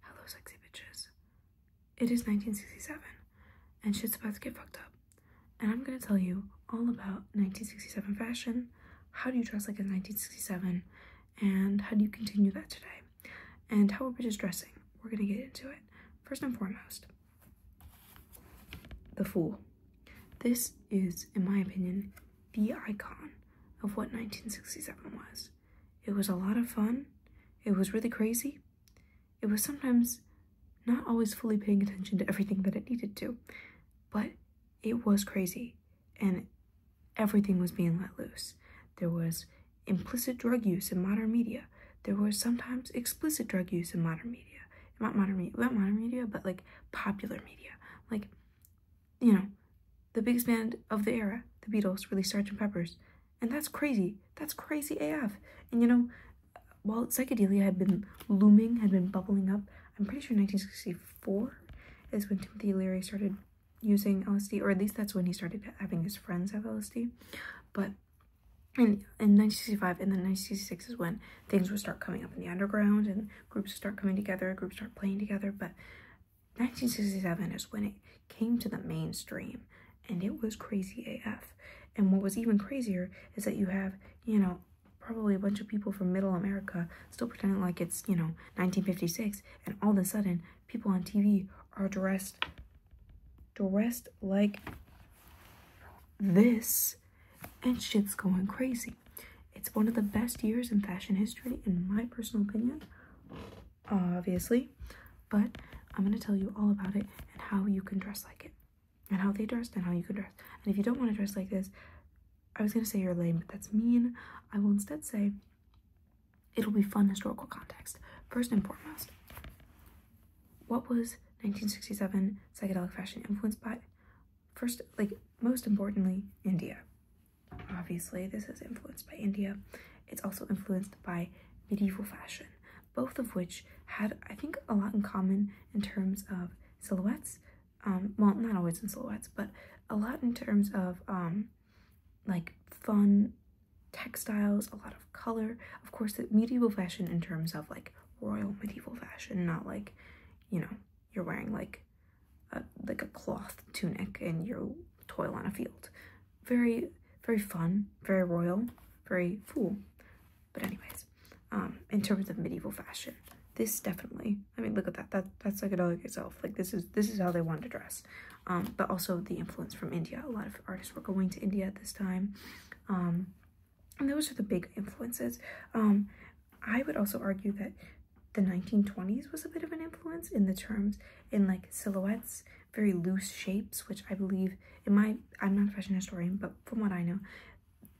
Hello, sexy bitches. It is 1967, and shit's about to get fucked up. And I'm gonna tell you all about 1967 fashion, how do you dress like in 1967, and how do you continue that today, and how about bitches dressing. We're gonna get into it. First and foremost, the Fool. This is, in my opinion, the icon of what 1967 was. It was a lot of fun. It was really crazy. It was sometimes not always fully paying attention to everything that it needed to, but it was crazy and everything was being let loose. There was implicit drug use in modern media. There was sometimes explicit drug use in modern media. Not modern media, not modern media, but like popular media. Like you know, the biggest band of the era, the Beatles, released Sgt. Pepper's. And that's crazy. That's crazy AF. And you know, while psychedelia had been looming, had been bubbling up, I'm pretty sure 1964 is when Timothy Leary started using LSD, or at least that's when he started having his friends have LSD. But in, in 1965 and then 1966 is when things would start coming up in the underground and groups start coming together, groups start playing together. But 1967 is when it came to the mainstream and it was crazy AF. And what was even crazier is that you have, you know, probably a bunch of people from middle America still pretending like it's, you know, 1956 and all of a sudden people on TV are dressed dressed like this and shit's going crazy. It's one of the best years in fashion history in my personal opinion obviously, but I'm going to tell you all about it and how you can dress like it, and how they dressed, and how you can dress. And if you don't want to dress like this, I was going to say you're lame, but that's mean. I will instead say it'll be fun historical context. First and foremost, what was 1967 psychedelic fashion influenced by? First, like most importantly, India. Obviously, this is influenced by India. It's also influenced by medieval fashion, both of which had, I think, a lot in common in terms of silhouettes. Um, well, not always in silhouettes, but a lot in terms of um, like fun textiles, a lot of color. Of course, the medieval fashion in terms of like royal medieval fashion, not like, you know, you're wearing like a like a cloth tunic and you toil on a field. Very very fun, very royal, very full. But anyways, um, in terms of medieval fashion, this definitely. I mean, look at that. That that's psychedelic itself. Like this is this is how they wanted to dress. Um, but also the influence from India. A lot of artists were going to India at this time. Um, and those are the big influences. Um, I would also argue that the 1920s was a bit of an influence in the terms in like silhouettes very loose shapes which i believe in my i'm not a fashion historian but from what i know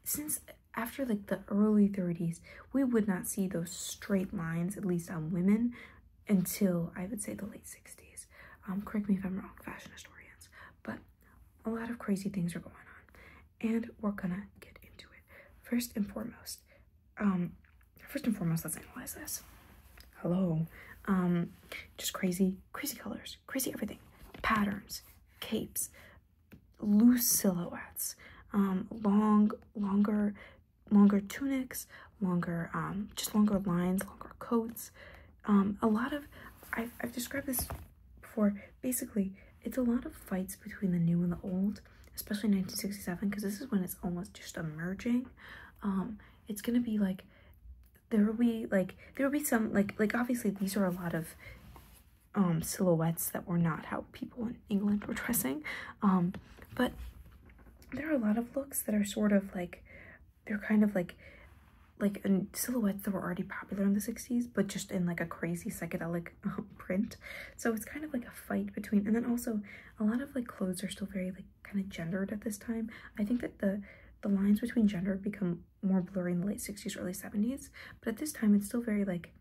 since after like the early 30s we would not see those straight lines at least on women until i would say the late 60s um, correct me if i'm wrong fashion historians but a lot of crazy things are going on and we're gonna get into it first and foremost um, first and foremost, let's analyze this. Hello. Um, just crazy, crazy colors, crazy everything. Patterns, capes, loose silhouettes, um, long, longer, longer tunics, longer, um, just longer lines, longer coats. Um, a lot of, I've, I've described this before, basically, it's a lot of fights between the new and the old, especially 1967 because this is when it's almost just emerging um it's gonna be like there will be like there will be some like like obviously these are a lot of um silhouettes that were not how people in england were dressing um but there are a lot of looks that are sort of like they're kind of like like silhouettes that were already popular in the 60s but just in like a crazy psychedelic Um, print. So it's kind of like a fight between, and then also a lot of like clothes are still very like kind of gendered at this time. I think that the the lines between gender become more blurry in the late 60s, early 70s, but at this time it's still very like,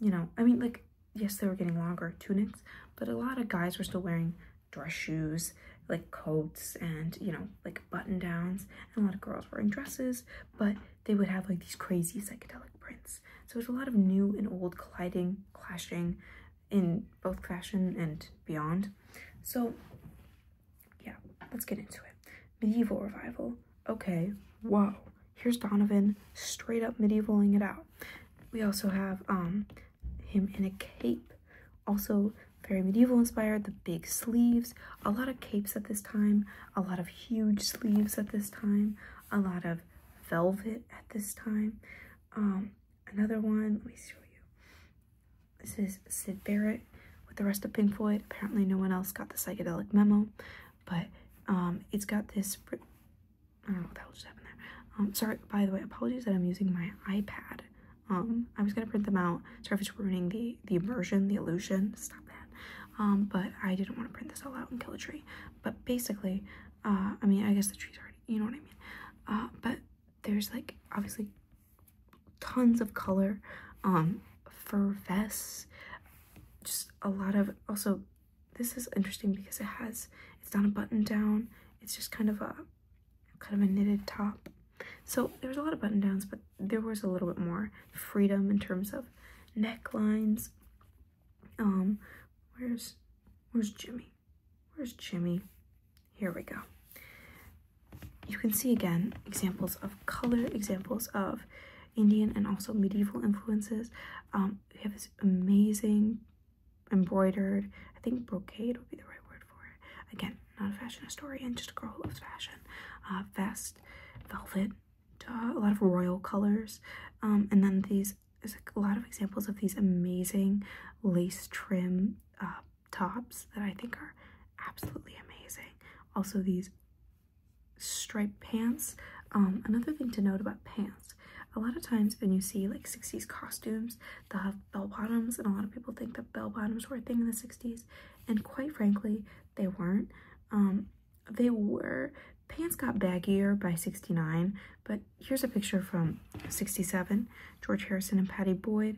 you know, I mean like, yes, they were getting longer tunics, but a lot of guys were still wearing dress shoes, like coats and, you know, like button downs, and a lot of girls wearing dresses, but they would have like these crazy psychedelic prints. So it's a lot of new and old colliding, clashing in both fashion and beyond. So yeah, let's get into it. Medieval revival. Okay, whoa. Here's Donovan straight up medievaling it out. We also have um him in a cape. Also very medieval inspired, the big sleeves, a lot of capes at this time, a lot of huge sleeves at this time, a lot of velvet at this time. Um, another one, let me show you. This is Sid Barrett with the rest of Pink Floyd. Apparently no one else got the psychedelic memo, but um, it's got this, I don't know what the hell just happened there. Um, sorry, by the way, apologies that I'm using my iPad. Um, I was gonna print them out. Sorry if it's ruining the, the immersion, the illusion, stop that. but I didn't want to print this all out and kill a tree. But basically, uh, I mean, I guess the tree's are. you know what I mean? Uh, but there's like obviously tons of color, um, fur vests, just a lot of, also, this is interesting because it has, it's not a button down, it's just kind of a, kind of a knitted top. So there was a lot of button downs, but there was a little bit more freedom in terms of necklines, um, where's where's Jimmy? Where's Jimmy? Here we go. You can see again examples of color, examples of Indian and also medieval influences. Um, we have this amazing embroidered, I think brocade would be the right word for it. Again, not a fashion historian, just a girl who loves fashion. Uh, vest, velvet, uh, a lot of royal colors um, and then these there's a lot of examples of these amazing lace trim uh, tops that I think are absolutely amazing. Also these striped pants. Um, another thing to note about pants, a lot of times when you see like 60s costumes, the bell bottoms and a lot of people think that bell bottoms were a thing in the 60s and quite frankly, they weren't. Um, they were pants got baggier by 69 but here's a picture from 67 george harrison and patty boyd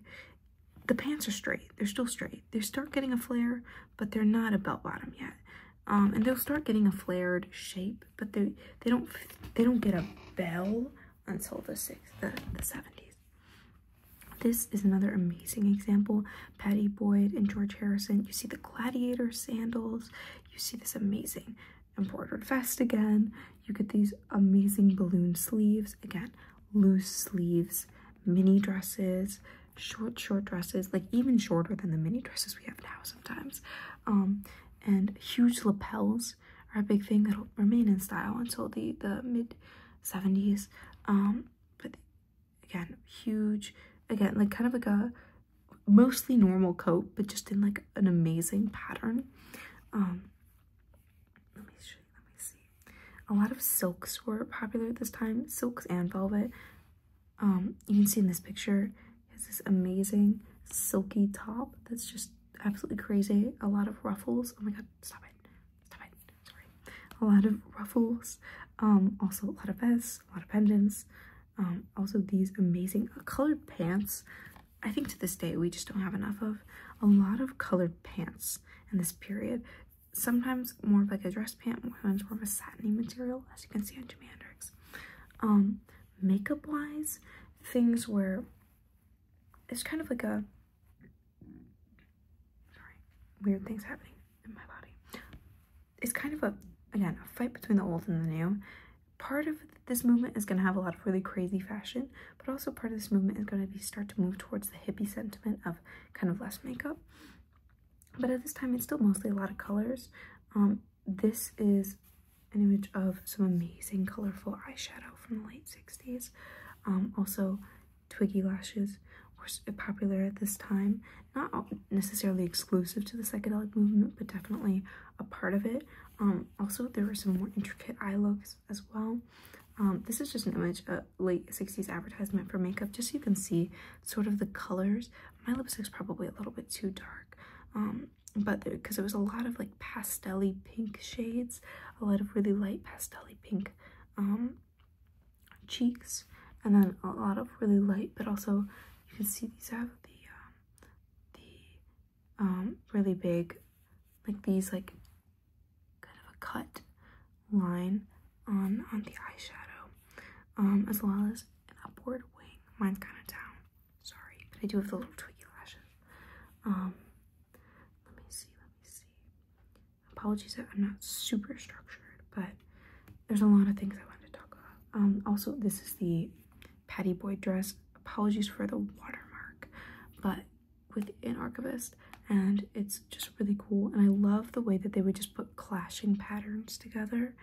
the pants are straight they're still straight they start getting a flare but they're not a belt bottom yet um, and they'll start getting a flared shape but they they don't they don't get a bell until the six the, the 70s this is another amazing example Patty Boyd and George Harrison. You see the gladiator sandals. You see this amazing embroidered vest again. You get these amazing balloon sleeves. Again, loose sleeves, mini dresses, short, short dresses, like even shorter than the mini dresses we have now sometimes. Um, and huge lapels are a big thing that'll remain in style until the, the mid 70s. Um, but Again, huge. Again, like kind of like a mostly normal coat, but just in like an amazing pattern. Um, let me show you, let me see. A lot of silks were popular at this time, silks and velvet. Um, you can see in this picture, has this amazing silky top that's just absolutely crazy. A lot of ruffles. Oh my god, stop it. Stop it. Sorry. A lot of ruffles. Um, also a lot of vests, a lot of pendants. Um, also these amazing colored pants. I think to this day we just don't have enough of. A lot of colored pants in this period. Sometimes more of like a dress pant, sometimes more of a satiny material, as you can see on Jimi Hendrix. Um, Makeup-wise, things where it's kind of like a... Sorry, weird things happening in my body it's kind of a again a fight between the old and the new part of this movement is going to have a lot of really crazy fashion but also part of this movement is going to be start to move towards the hippie sentiment of kind of less makeup but at this time it's still mostly a lot of colors um, this is an image of some amazing colorful eyeshadow from the late 60s um, also twiggy lashes were popular at this time. Not necessarily exclusive to the psychedelic movement, but definitely a part of it. Um, also, there were some more intricate eye looks as well. Um, this is just an image, a late 60s advertisement for makeup, just so you can see sort of the colors. My lipstick's probably a little bit too dark, um, but because there was a lot of like pastelly pink shades, a lot of really light pastelly pink cheeks and then a lot of really light but also you can see these have the um, the um, really big like these like kind of a cut line on on the eyeshadow um, as well as an upward wing mine's kind of down sorry but I do have the little tweaky lashes um let me see let me see apologies I'm not super structured but there's a lot of things I wanted to talk about. Um, also, this is the Patty Boy dress. Apologies for the watermark, but with an archivist, and it's just really cool. And I love the way that they would just put clashing patterns together.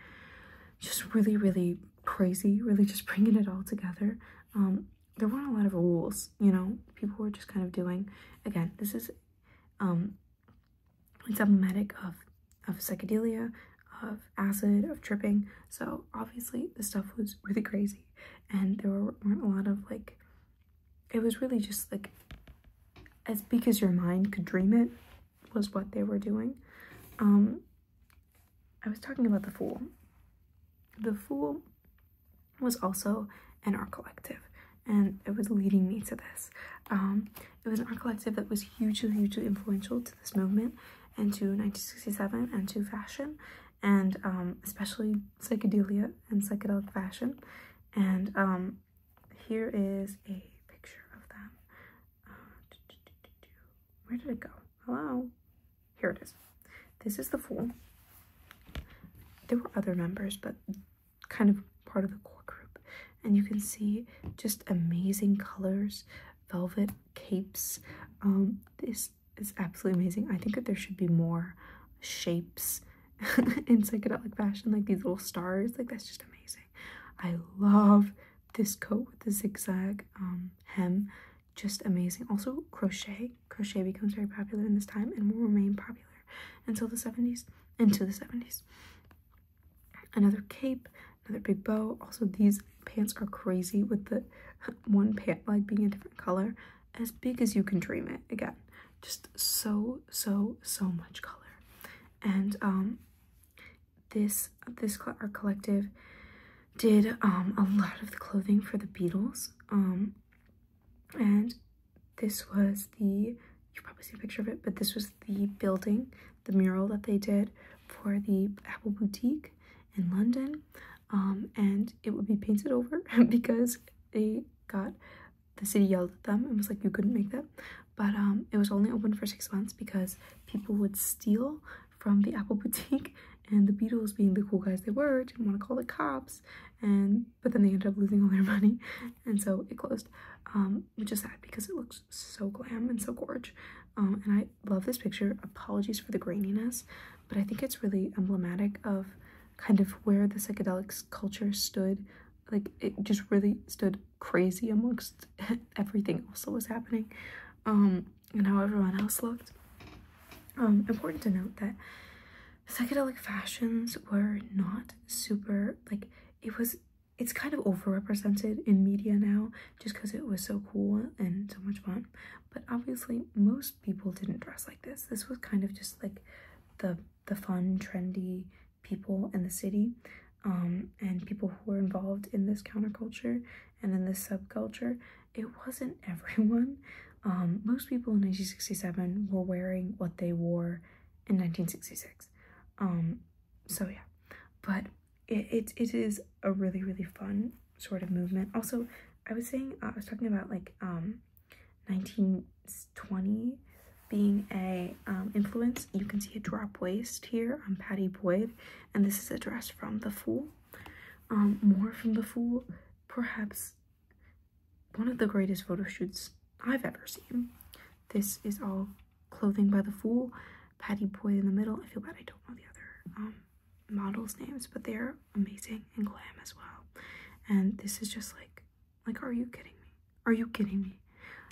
Just really, really crazy, really just bringing it all together. Um, there weren't a lot of rules, you know, people were just kind of doing. Again, this is um, it's emblematic of of psychedelia, of acid, of tripping. So obviously the stuff was really crazy, and there were, not a lot of like. It was really just like, as big as your mind could dream it, was what they were doing. Um, I was talking about the Fool. The Fool was also an art collective and it was leading me to this. Um, it was an art collective that was hugely, hugely influential to this movement and to 1967 and to fashion and um, especially psychedelia and psychedelic fashion. And um, here is a picture of them. Uh, where did it go? Hello? Here it is. This is the Fool. There were other members, but kind of part of the core group. And you can see just amazing colors, velvet capes. Um, this is absolutely amazing. I think that there should be more shapes in psychedelic fashion, like these little stars. Like that's just amazing. I love this coat with the zigzag um, hem. Just amazing. Also crochet. Crochet becomes very popular in this time and will remain popular until the 70s, Until the 70s another cape, another big bow. Also, these pants are crazy with the one pant leg being a different color. As big as you can dream it. Again, just so, so, so much color. And um, this, this our collective did um, a lot of the clothing for the Beatles. Um, and this was the, you probably see a picture of it, but this was the building, the mural that they did for the Apple Boutique in London. Um, and it would be painted over because they got the city yelled at them and was like, you couldn't make that. But um, it was only open for six months because people would steal from the Apple Boutique and the Beatles being the cool guys they were didn't want to call the cops and but then they ended up losing all their money and so it closed um, which is sad because it looks so glam and so gorge um, and i love this picture apologies for the graininess but i think it's really emblematic of kind of where the psychedelics culture stood like it just really stood crazy amongst everything else that was happening um, and how everyone else looked important to note that psychedelic fashions were not super like it was it's kind of overrepresented in media now just because it was so cool and so much fun but obviously most people didn't dress like this this was kind of just like the the fun trendy people in the city um, and people who were involved in this counterculture and in this subculture it wasn't everyone um, most people in 1967 were wearing what they wore in 1966. Um, so yeah, but it, it is a really, really fun sort of movement. Also, I was saying, uh, I was talking about like um, 1920 being a um, influence. You can see a drop waist here on Patty Boyd, and this is a dress from The Fool. Um, more from The Fool, perhaps one of the greatest photo shoots I've ever seen. This is all clothing by the fool. Patty Boy in the middle. I feel bad I don't know the other um, models' names, but they are amazing and glam as well. And this is just like, like, are you kidding me? Are you kidding me?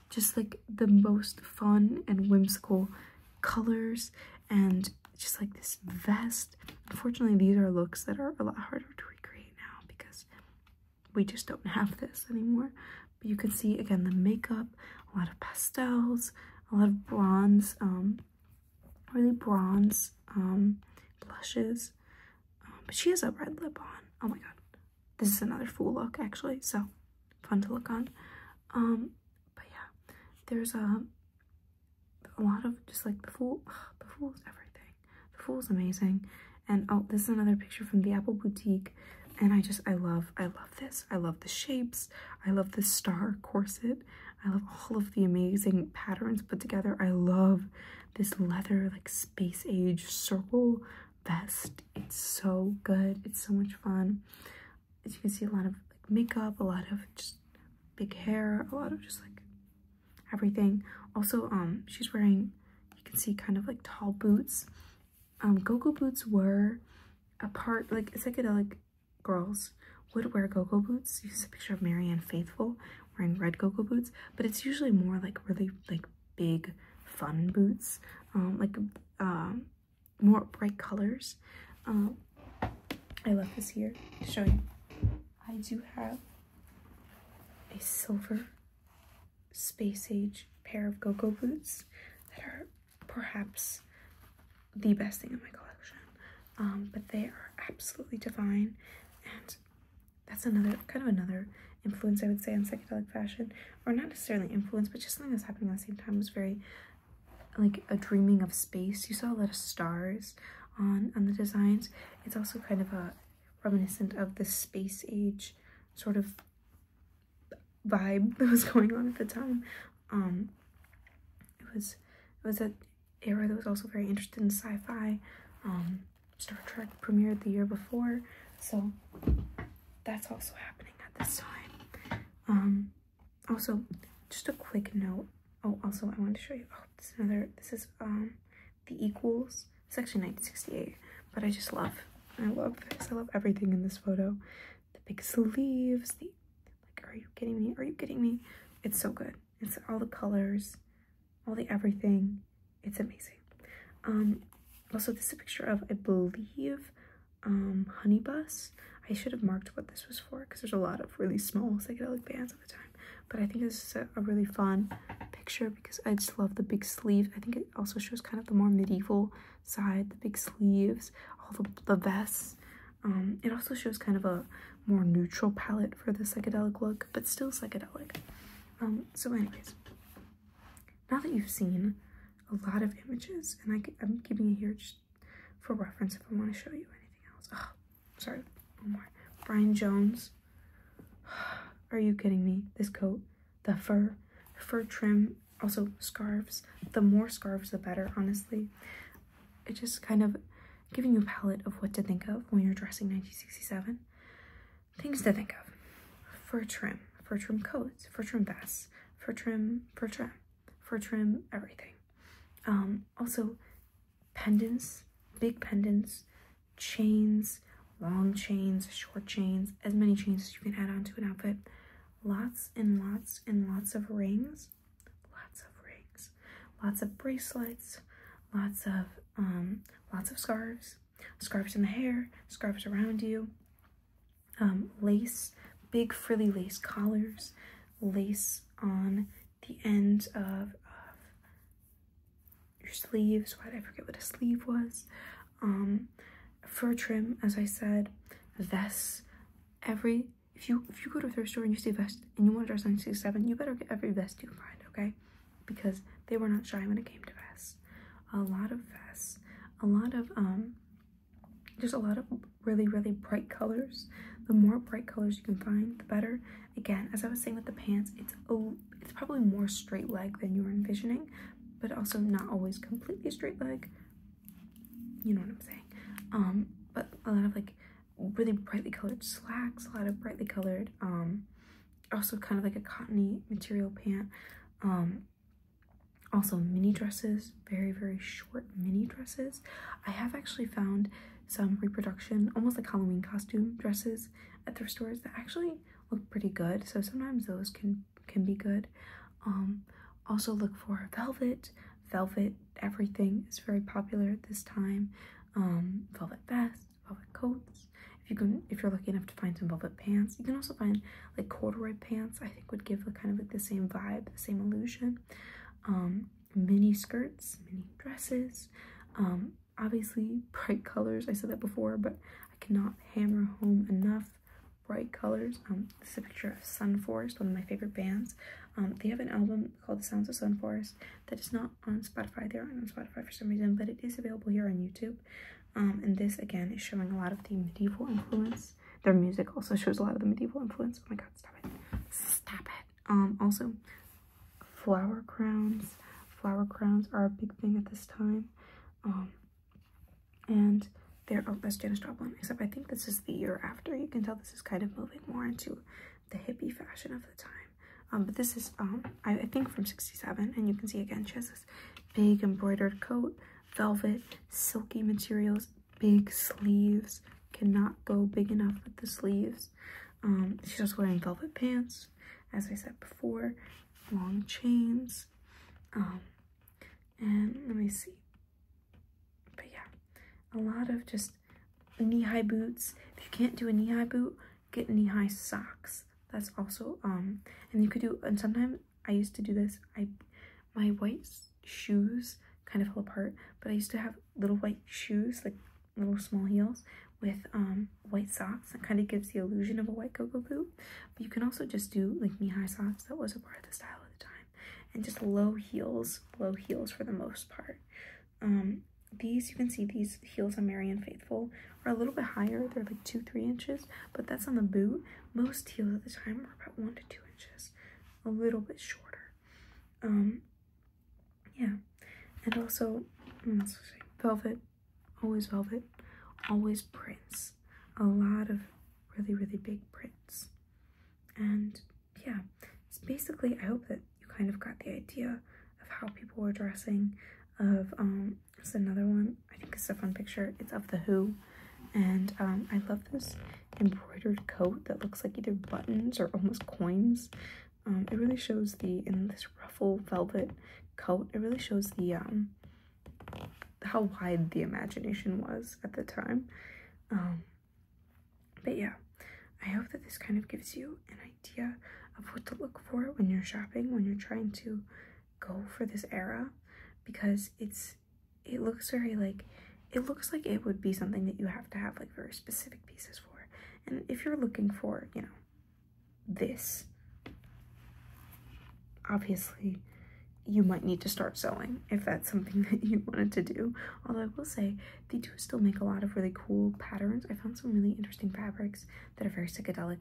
Just like the most fun and whimsical colors and just like this vest. Unfortunately, these are looks that are a lot harder to recreate now because we just don't have this anymore. But you can see again the makeup, a lot of pastels, a lot of bronze, um, really bronze um, blushes. Um, but she has a red lip on. Oh my god. This is another fool look actually, so fun to look on. but yeah, there's a, a lot of just like the fool, ugh, the fool's everything. The fool's amazing. And oh, this is another picture from the Apple Boutique. And I just, I love, I love this. I love the shapes. I love the star corset. I love all of the amazing patterns put together. I love this leather, like space age circle vest. It's so good. It's so much fun. As you can see, a lot of like makeup, a lot of just big hair, a lot of just like everything. Also, um, she's wearing, you can see kind of like tall boots. Um, gogo boots were a part, like psychedelic girls would wear gogo boots. This is a picture of Marianne Faithful wearing red gogo boots, but it's usually more like really like big fun boots, um, like um, more bright colors. Um, I love this here to show you. I do have a silver space age pair of go-go boots that are perhaps the best thing in my collection. Um, but they are absolutely divine and that's another kind of another influence I would say in psychedelic fashion or not necessarily influence but just something that's happening at the same time was very like a dreaming of space you saw a lot of stars on on the designs it's also kind of a reminiscent of the space age sort of vibe that was going on at the time. Um, it was it was an era that was also very interested in sci-fi. Um, Star Trek premiered the year before, so that's also happening at this time. Um, also, just a quick note. Oh, also I wanted to show you. Oh, this another. This is um the Equals. It's actually 1968, but I just love, I love this. I love everything in this photo. The big sleeves, the, like, are you kidding me? Are you kidding me? It's so good. It's all the colors, all the everything. It's amazing. Um, also, this is a picture of, I believe, um, Honey Bus. I should have marked what this was for because there's a lot of really small psychedelic bands at the time but I think this is a, really fun picture because I just love the big sleeves. I think it also shows kind of the more medieval side, the big sleeves, all the, the vests. Um, it also shows kind of a more neutral palette for the psychedelic look, but still psychedelic. Um, so anyways, now that you've seen a lot of images, and I, am keeping it here just for reference if I want to show you anything else sorry, Brian Jones. Are you kidding me? This coat, the fur, fur trim, also scarves. The more scarves, the better, honestly. it just kind of giving you a palette of what to think of when you're dressing 1967. Things to think of. Fur trim, fur trim coats, fur trim vests, fur trim, fur trim, fur trim, everything. Um, also, pendants, big pendants, chains, long chains, short chains, as many chains as you can add onto an outfit. Lots and lots and lots of rings, lots of rings, lots of bracelets, lots of um, lots of scarves, scarves in the hair, scarves around you, um, lace, big frilly lace collars, lace on the ends of your sleeves, Why did I forget what a sleeve was, um, fur trim, as I said, vests, every if you if you go to a thrift store and you see a vest and you want to dress on 67, you better get every vest you can find, okay? Because they were not shy when it came to vests. A lot of vests, a lot of um there's a lot of really, really bright colors. The more bright colors you can find, the better. Again, as I was saying with the pants, it's oh, it's probably more straight leg than you were envisioning, but also not always completely straight leg. You know what I'm saying? Um, but a lot of like really brightly colored slacks, a lot of brightly colored, um, also kind of like a cottony material pant. Um, also mini dresses, very, very short mini dresses. I have actually found some reproduction, almost like Halloween costume dresses at thrift stores that actually look pretty good. So sometimes those can can be good. Um, also look for velvet. Velvet everything is very popular at this time. Um, velvet vests, velvet coats. If you can, if you're lucky enough to find some velvet pants, you can also find like corduroy pants. I think would give a kind of like the same vibe, the same illusion. Um, mini skirts, mini dresses, um, obviously bright colors. I said that before, but I cannot hammer home enough bright colors. Um, this is a picture of Sun Forest, one of my favorite bands. Um, they have an album called The Sounds of Sun Forest*. that is not on Spotify. They are on Spotify for some reason, but it is available here on YouTube. and this, again, is showing a lot of the medieval influence. Their music also shows a lot of the medieval influence. Oh my god, stop it. Stop it. Um, also, flower crowns. Flower crowns are a big thing at this time. Um, and there, oh, that's Janis Joplin, except I think this is the year after. You can tell this is kind of moving more into the hippie fashion of the time. Um, but this is, um, I think from 67, and you can see again, she has this big embroidered coat, velvet, silky materials, big sleeves, cannot go big enough with the sleeves um, she's also wearing velvet pants, as I said before, long chains. Um, and let me see. But yeah, a lot of just knee-high boots. If you can't do a knee-high boot, get knee-high socks. That's also, um, and you could do, and sometimes I used to do this. I, my white shoes kind of fell apart, but I used to have little white shoes, like little small heels with um, white socks. That kind of gives the illusion of a white go boot. But you can also just do like knee-high socks. That was a part of the style at the time. And just low heels, low heels for the most part. Um, these, you can see these heels on Marian Faithful are a little bit higher. They're like two, three inches, but that's on the boot. Most heels at the time are about one to two inches, a little bit shorter. Um, yeah, and also mm, velvet, always velvet, always prints, a lot of really really big prints, and yeah, it's basically I hope that you kind of got the idea of how people were dressing. Of um, it's another one I think it's a fun picture. It's of the Who, and um, I love this embroidered coat that looks like either buttons or almost coins. Um, it really shows the, in this ruffle velvet coat, it really shows the, um, how wide the imagination was at the time. Um, but yeah, I hope that this kind of gives you an idea of what to look for when you're shopping, when you're trying to go for this era, because it's, it looks very like it looks like it would be something that you have to have like very specific pieces for. And if you're looking for, you know, this, obviously you might need to start sewing if that's something that you wanted to do. Although I will say, they do still make a lot of really cool patterns. I found some really interesting fabrics that are very psychedelic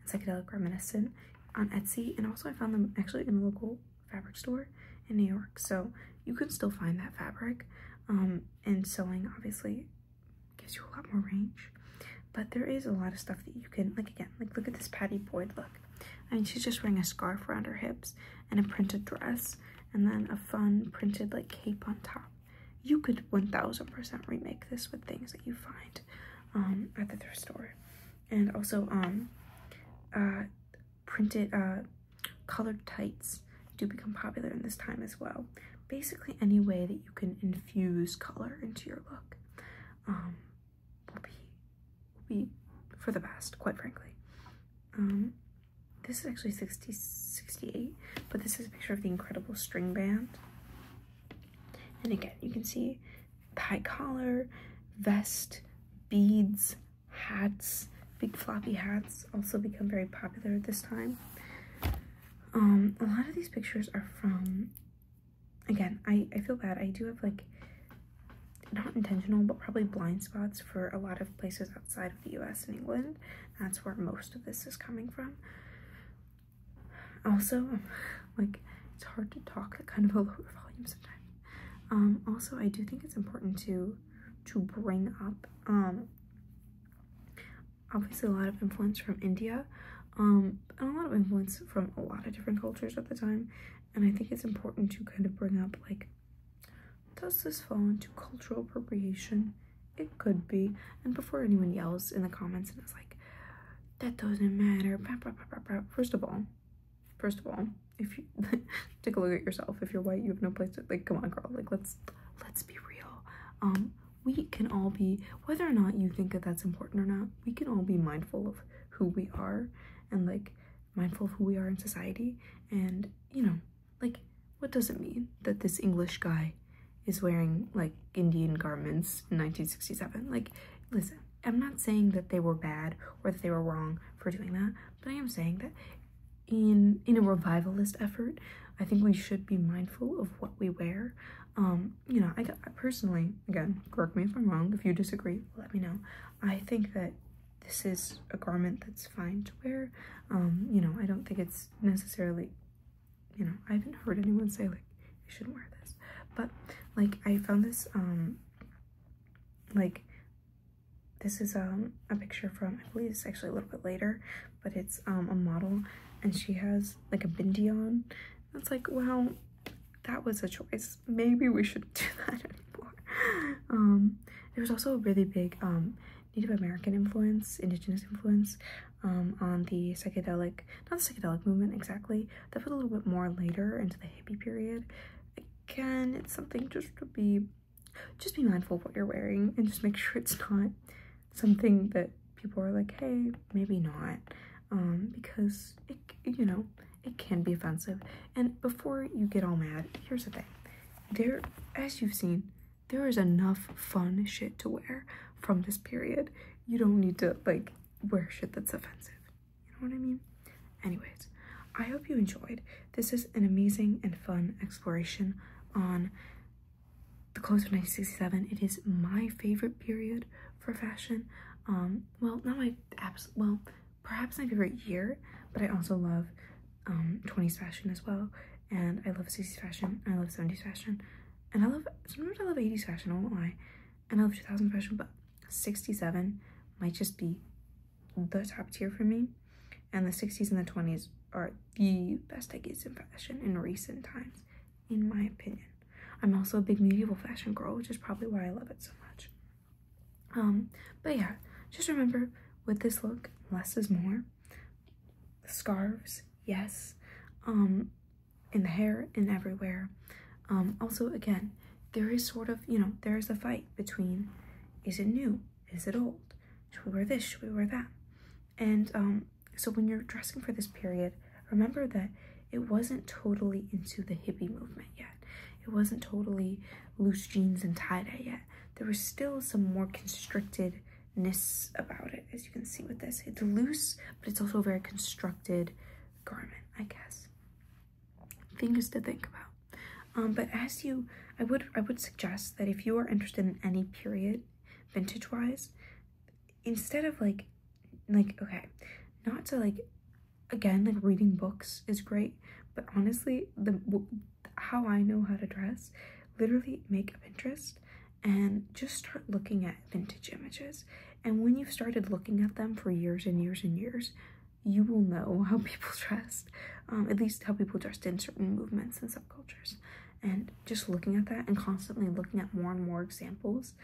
and psychedelic reminiscent on Etsy. And also I found them actually in a local fabric store in New York. So you can still find that fabric um, and sewing obviously gives you a lot more range but there is a lot of stuff that you can like again like look at this patty boyd look i mean she's just wearing a scarf around her hips and a printed dress and then a fun printed like cape on top you could 1000% remake this with things that you find um, at the thrift store and also um, uh, printed uh, colored tights do become popular in this time as well. Basically any way that you can infuse color into your look um, will, be, will be for the past, quite frankly. Um, this is actually 60, 68, but this is a picture of the incredible string band. And again, you can see the high collar, vest, beads, hats, big floppy hats, also become very popular at this time. Um, a lot of these pictures are from, again, I, I feel bad. I do have like, not intentional, but probably blind spots for a lot of places outside of the US and England. That's where most of this is coming from. Also, like, it's hard to talk at kind of a lower volume sometimes. Um, also, I do think it's important to to bring up um, obviously a lot of influence from India um, and a lot of influence from a lot of different cultures at the time and I think it's important to kind of bring up like does this fall into cultural appropriation it could be and before anyone yells in the comments and is like that doesn't matter first of all first of all if you take a look at yourself if you're white you have no place to like come on girl like let's let's be real um we can all be whether or not you think that that's important or not we can all be mindful of who we are and like mindful of who we are in society and you know like what does it mean that this english guy is wearing like indian garments in 1967 like listen i'm not saying that they were bad or that they were wrong for doing that but i am saying that in in a revivalist effort, I think we should be mindful of what we wear. Um, you know, I, personally, again, correct me if I'm wrong. If you disagree, let me know. I think that this is a garment that's fine to wear. Um, you know, I don't think it's necessarily, you know, I haven't heard anyone say like you shouldn't wear this, but like I found this um, like this is um, a picture from, I believe it's actually a little bit later, but it's um, a model and she has like a bindi on. That's like, wow, that was a choice. Maybe we should do that anymore. Um, there was also a really big um, Native American influence, indigenous influence on the psychedelic, not the psychedelic movement exactly, that was a little bit more later into the hippie period. Again, it's something just to be just be mindful of what you're wearing and just make sure it's not something that people are like, hey, maybe not. Um, because it, you know, it can be offensive. And before you get all mad, here's the thing. There, as you've seen, there is enough fun shit to wear from this period. You don't need to, like, wear shit that's offensive. You know what I mean? Anyways, I hope you enjoyed. This is an amazing and fun exploration on the clothes of 1967. It is my favorite period for fashion. Um, well, not my abs well, perhaps my favorite year, but I also love 20s um, fashion as well. And I love 60s fashion, I love 70s fashion, and I love sometimes I love 80s fashion, I won't lie, and I love 2000 fashion, but 67 might just be the top tier for me. And the 60s and the 20s are the best decades in fashion in recent times, in my opinion. I'm also a big medieval fashion girl, which is probably why I love it so much. Um, but yeah, just remember with this look, less is more. scarves, yes. Um, in the hair and everywhere. Um, also, again, there is sort of, you know, there is a fight between is it new? Is it old? Should we wear this? Should we wear that? And um, so when you're dressing for this period, remember that it wasn't totally into the hippie movement yet. It wasn't totally loose jeans and tie-dye yet. There was still some more constrictedness about it, as you can see with this. It's loose, but it's also a very constructed garment, I guess things to think about. Um, but as you, I would I would suggest that if you are interested in any period, vintage wise, instead of like, like okay, not to like, again like reading books is great, but honestly the how I know how to dress, literally make a Pinterest and just start looking at vintage images. And when you've started looking at them for years and years and years, you will know how people dressed, um, at least how people dressed in certain movements and subcultures. And just looking at that and constantly looking at more and more examples,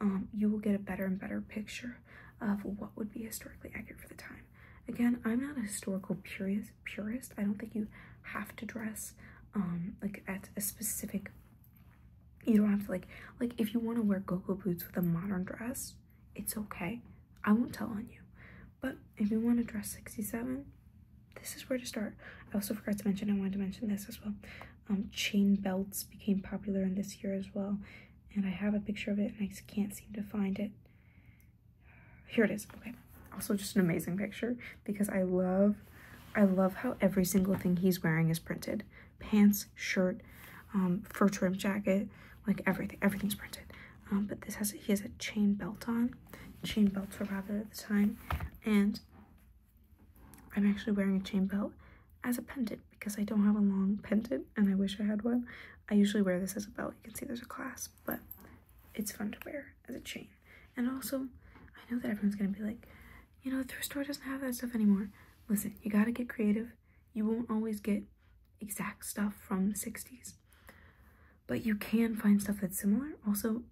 um, you will get a better and better picture of what would be historically accurate for the time. Again, I'm not a historical purist. Purist. I don't think you have to dress um, like at a specific. You don't have to like like if you want to wear go-go boots with a modern dress, it's okay. I won't tell on you. But if you want to dress 67, this is where to start. I also forgot to mention, I wanted to mention this as well. Um, chain belts became popular in this year as well. And I have a picture of it and I can't seem to find it. Here it is. Okay. Also just an amazing picture because I love, I love how every single thing he's wearing is printed. Pants, shirt, um, fur trim jacket, like everything. Everything's printed. Um, but this has he has a chain belt on. Chain belts were popular the time, and I'm actually wearing a chain belt as a pendant because I don't have a long pendant and I wish I had one. I usually wear this as a belt. You can see there's a clasp, but it's fun to wear as a chain. And also, I know that everyone's gonna be like, you know, the thrift store doesn't have that stuff anymore. Listen, you gotta get creative. You won't always get exact stuff from the 60s, but you can find stuff that's similar. Also,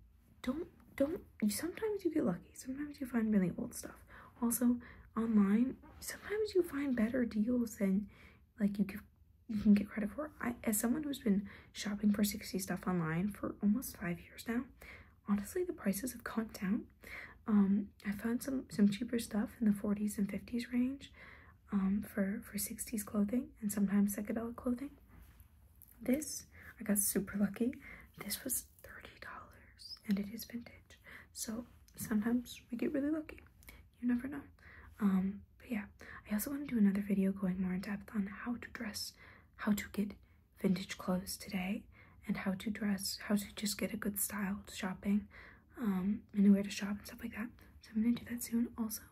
don't don't sometimes you get lucky. Sometimes you find really old stuff. Also, online, sometimes you find better deals than like you you can get credit for. as someone who's been shopping for 60 stuff online for almost five years now, honestly, the prices have gone down um, I found some some cheaper stuff in the 40s and 50s range um, for for 60s clothing and sometimes psychedelic clothing. This I got super lucky. This was thirty dollars and it is vintage. So sometimes we get really lucky. You never know. Um, but yeah, I also want to do another video going more in depth on how to dress, how to get vintage clothes today, and how to dress, how to just get a good style shopping um, and where to shop and stuff like that. So I'm gonna do that soon. Also,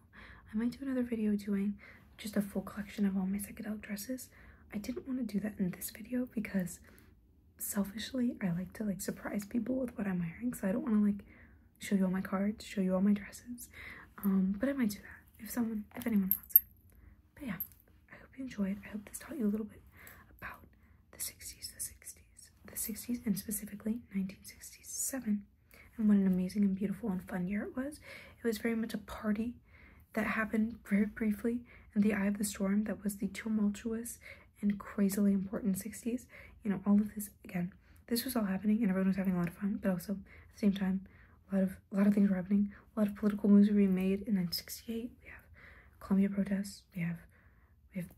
I might do another video doing just a full collection of all my psychedelic dresses. I didn't want to do that in this video because selfishly I like to like surprise people with what I'm wearing. So I don't want to like show you all my cards, show you all my dresses. Um, but I might do that if someone, if anyone wants it. But yeah, I hope you enjoyed. I hope this taught you a little bit about the 60s, the 60s, the 60s, and specifically 1967. And what an amazing and beautiful and fun year it was. It was very much a party that happened very briefly in the eye of the storm that was the tumultuous and crazily important 60s. You know, all of this again. This was all happening and everyone was having a lot of fun, but also at the same time, a lot of a lot of things were happening. A lot of political moves were being made, in 1968. we have Columbia protests, we have we have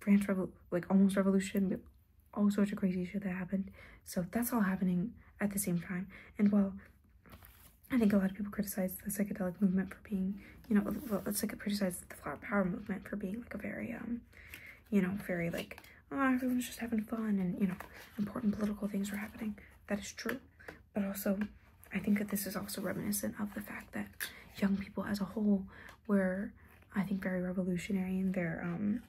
France Revo like almost revolution, all sorts of crazy shit that happened. So that's all happening at the same time. And while I think a lot of people criticize the psychedelic movement for being, you know, well, it's like criticize the flower power movement for being like a very, um, you know, very like, oh, everyone's just having fun and, you know, important political things are happening. That is true. But also, I think that this is also reminiscent of the fact that young people as a whole were, I think, very revolutionary in their um,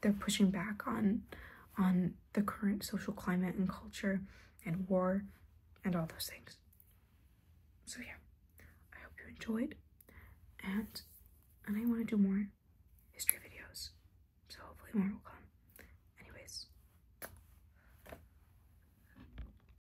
they're pushing back on on the current social climate and culture and war and all those things. So yeah, I hope you enjoyed, and and I want to do more history videos, so hopefully more will come. Anyways.